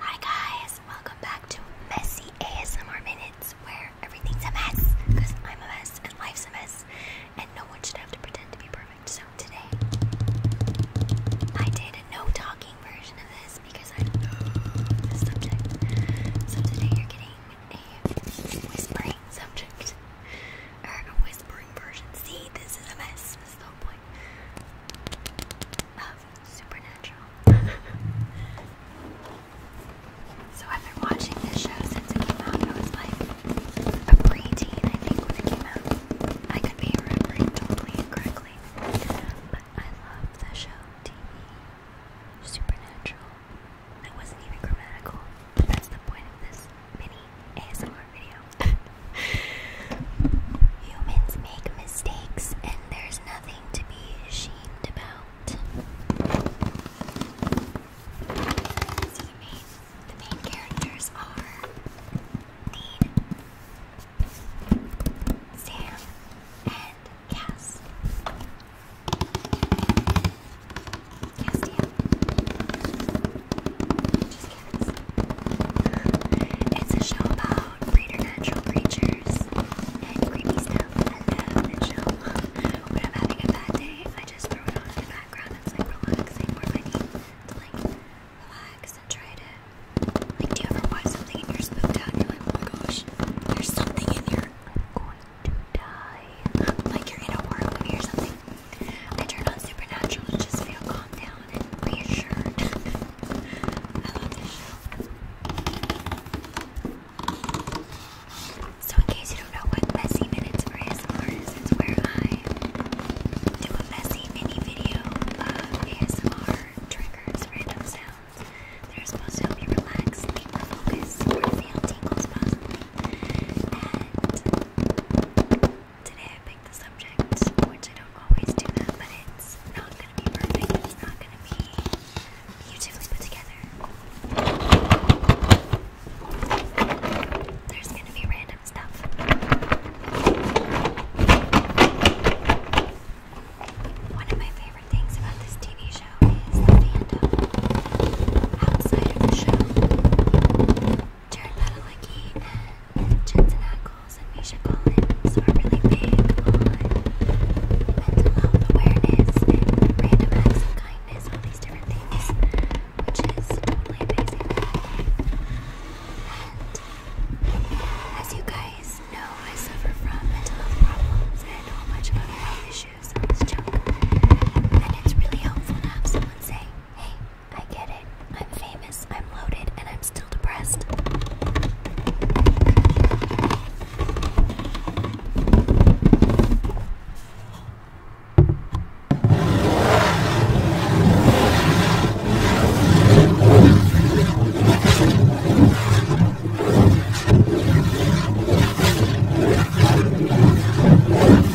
Hi guys, welcome back to Messy ASMR Minutes, where everything's a mess, because I'm a mess and life's a mess, and no one should have to pretend to be perfect. So today, I did a no talking version of this because I love this subject. So today, you're getting a whispering subject, or a whispering version. See, this is a mess. This is Supernatural. so I've been watching this show since it came out. I was like a preteen, I think, when it came out. I could be remembering totally incorrectly. But I love the show TV. Supernatural. That wasn't even grammatical. That's the point of this mini ASMR video. Humans make mistakes, and there's nothing to be ashamed about. So the main, the main characters are Dean, Sam, and Cass. Castiel. Just it's a show about preternatural creatures and creepy stuff. I love the show. When I'm having a bad day, I just throw it on in the background. It's like relaxing or I need to like relax and try to like do you ever watch something and you're spooked out and you're like, oh my gosh, there's something in here. I'm going to die. Like you're in a horror movie or something. I turn on supernatural to just feel calmed down. I love So, in case you don't know what messy minutes for ASMR is, it's where I do a messy mini video of ASMR triggers, random sounds that are supposed to help you relax, think, focus, feel tingles possibly. And today I picked the subject, which I don't always do that, but it's not gonna be perfect, it's not gonna be beautifully put together. There's gonna be random stuff. One of my favorite things about this TV show is the outside of the show. Jared Padalecki and Jensen Ackles and Misha are really big mental health awareness random acts of kindness, all these different things, which is totally amazing. And as you guys know, I suffer from mental health problems and a whole other issues on this channel, really helpful to have someone say, hey, I get it. I'm famous, I'm loaded, and I'm still depressed.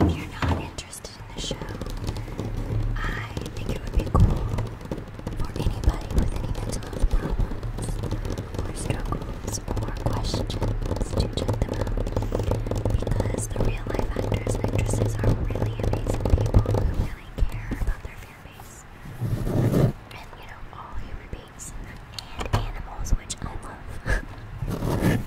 even if you're not interested in the show, I think it would be cool for anybody with any mental health problems or struggles or questions to check them out because the real life actors and actresses are really amazing people who really care about their fan base. And you know, all human and animals, which I love.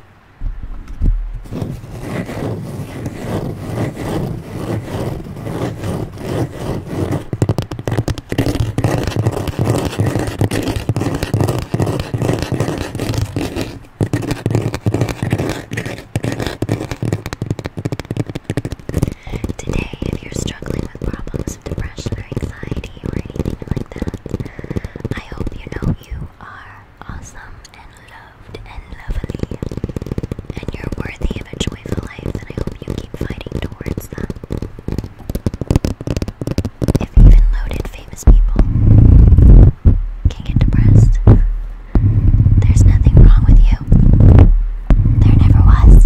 Today, if you're struggling with problems of depression or anxiety, I hope you know you are awesome and loved and lovely, and you're worthy of a joyful life, and I hope you keep fighting towards that. If even loaded famous people can get depressed, there's nothing wrong with you. There never was.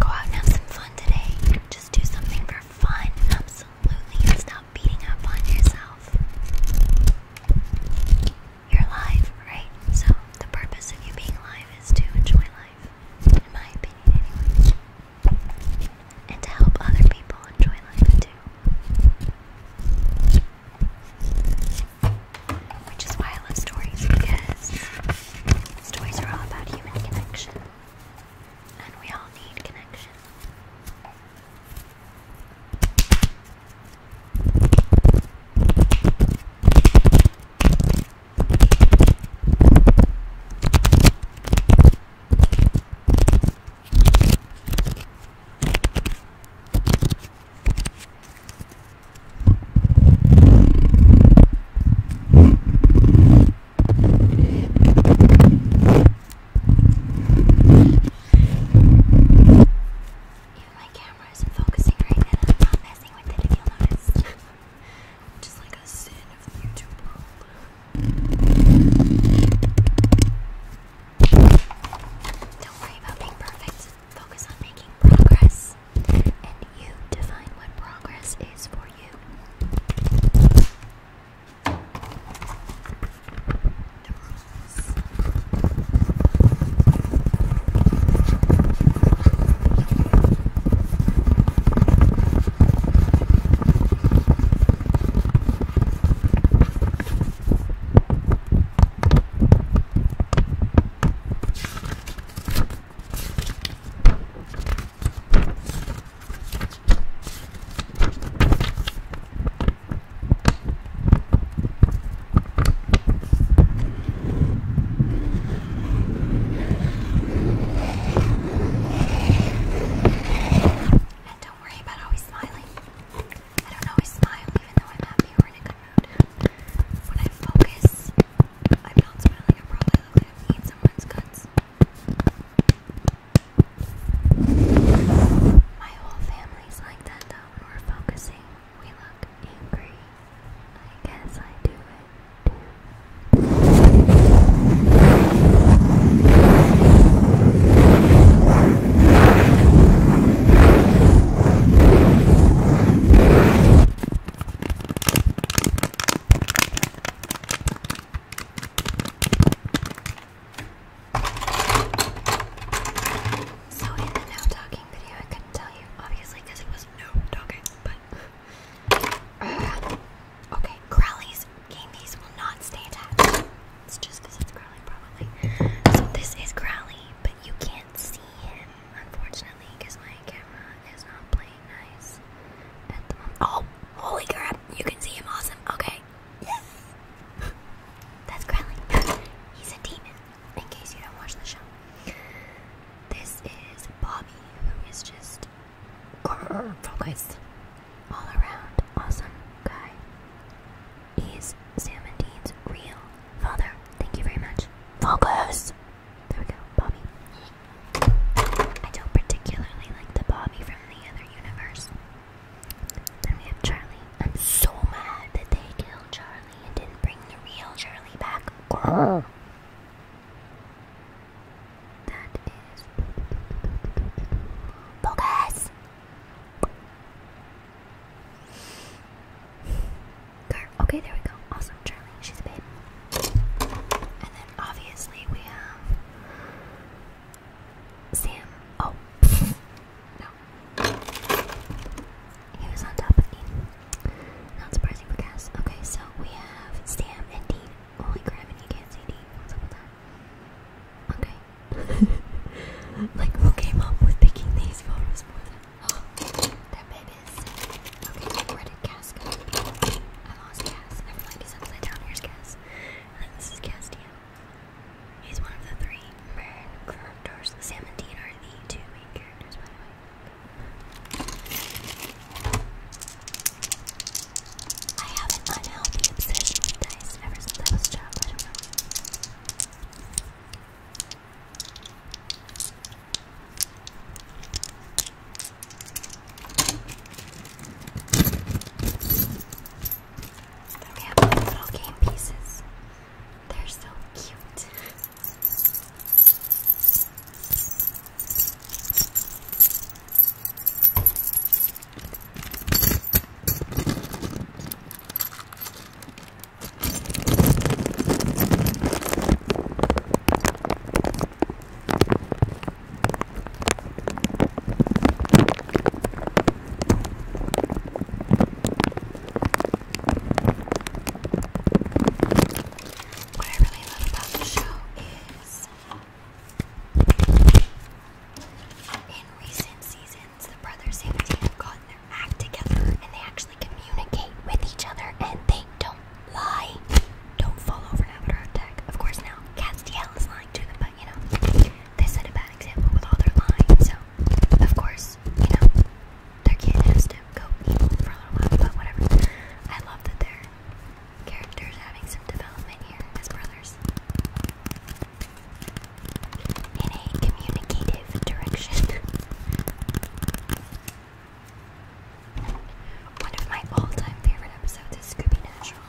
Go out and have some fun today. Just do something for fun, absolutely, and stop beating up on yourself. You're alive, right? So, the purpose of you being alive is to enjoy life, in my opinion, anyway. And to help other people enjoy life too. Which is why I love stories, because stories are all about human connection. And we all need connection. Even my camera isn't focusing right now. I'm not messing with it if you'll notice. Just like a sin of the YouTube world. Don't worry about being perfect. Focus on making progress. And you define what progress is for you. And don't worry about always smiling. I don't always smile even though I'm happy or in a good mood. When I focus, I'm not smiling. I probably look like I'm eating someone's guts. My whole family's like that though. When we're focusing, we look angry. I guess I do it too. So in the no talking video, I couldn't tell you, obviously, because it was no talking, but. Uh, okay, Crowley's candies will not stay attached. It's just because it's Crowley, probably. So this is Crowley, but you can't see him, unfortunately, because my camera is not playing nice Oh, holy crap! You can see him. Awesome. Okay. Yes. That's Crowley. He's a demon. In case you don't watch the show. This is Bobby, who is just focused all around awesome guy. He's Sam and Dean's real father. Thank you very much. Focus! There we go, Bobby. I don't particularly like the Bobby from the other universe. Then we have Charlie. I'm so mad that they killed Charlie and didn't bring the real Charlie back. Grr that is bogus. Okay, there we go. Awesome, Charlie. She's a babe. And then obviously we have Sam. Oh, no. He was on top of Dean. Not surprising for Cass. Okay, so we have Sam and Dean. Holy crap, and you can't see Dean. What's up Okay. like, who came up with picking these photos Oh, they're babies. Okay, where did Cass go? I lost Cass. Never mind, he's upside down. Here's Cass. And this is Castia. He's one of the three. Mern, Corruptors, Sam, and Dean are the two main characters, I have an unhealthy obsession with dice ever since I was child. I have little game pieces. They're so cute. What I really love about the show is in recent seasons, the brothers have gotten their act together and they actually communicate with each other and they don't lie. Don't fall over and attack. Of course, now Castiel is lying to them, but you know, they set a bad example with all their lying, so of course, you know, their kid has to go for a little while, but whatever. I love that they're characters having some development here as brothers. In a communicative direction. One of my all-time favorite episodes is Scooby Natural.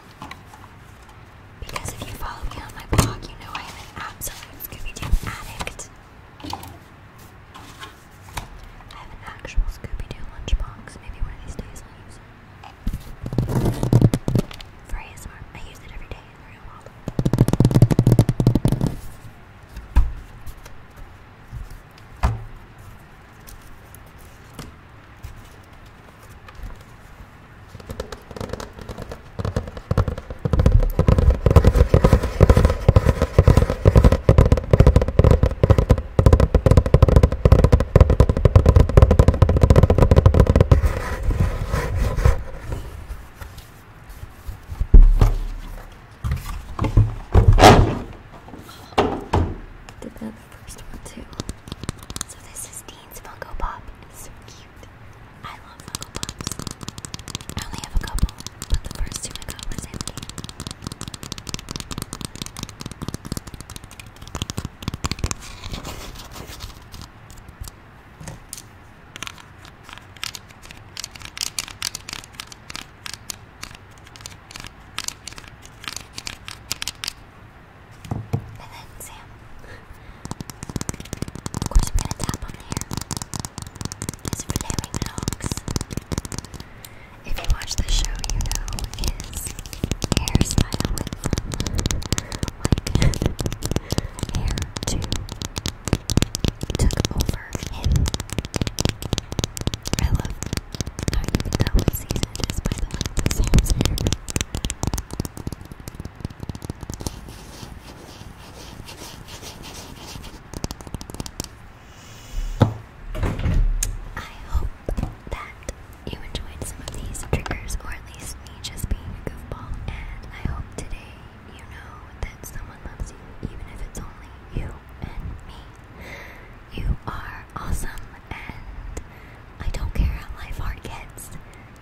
Because if you follow me on my blog, you know I am an absolute Scooby-Doo addict. I have an actual Scooby-Doo lunchbox. Maybe one of these days I'll use it. For ASMR, I use it every day real world. Did that the first one too. So this is Dean's Funko Pop. It's so cute. I love Funko Pops. I only have a couple, but the first two I got was empty. And then Sam. Of course, we're gonna tap on here. His flaring locks if you watch the show, you know his hairstyle went like hair to took over him. I love how you can tell what by the length I hope that you enjoyed some of these triggers, or at least me just being a goofball. And I hope today you know that someone loves you, even if it's only you and me. You are awesome, and I don't care how life hard gets.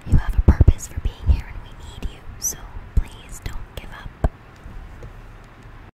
You have a purpose for being here, and we need you. So please don't give up.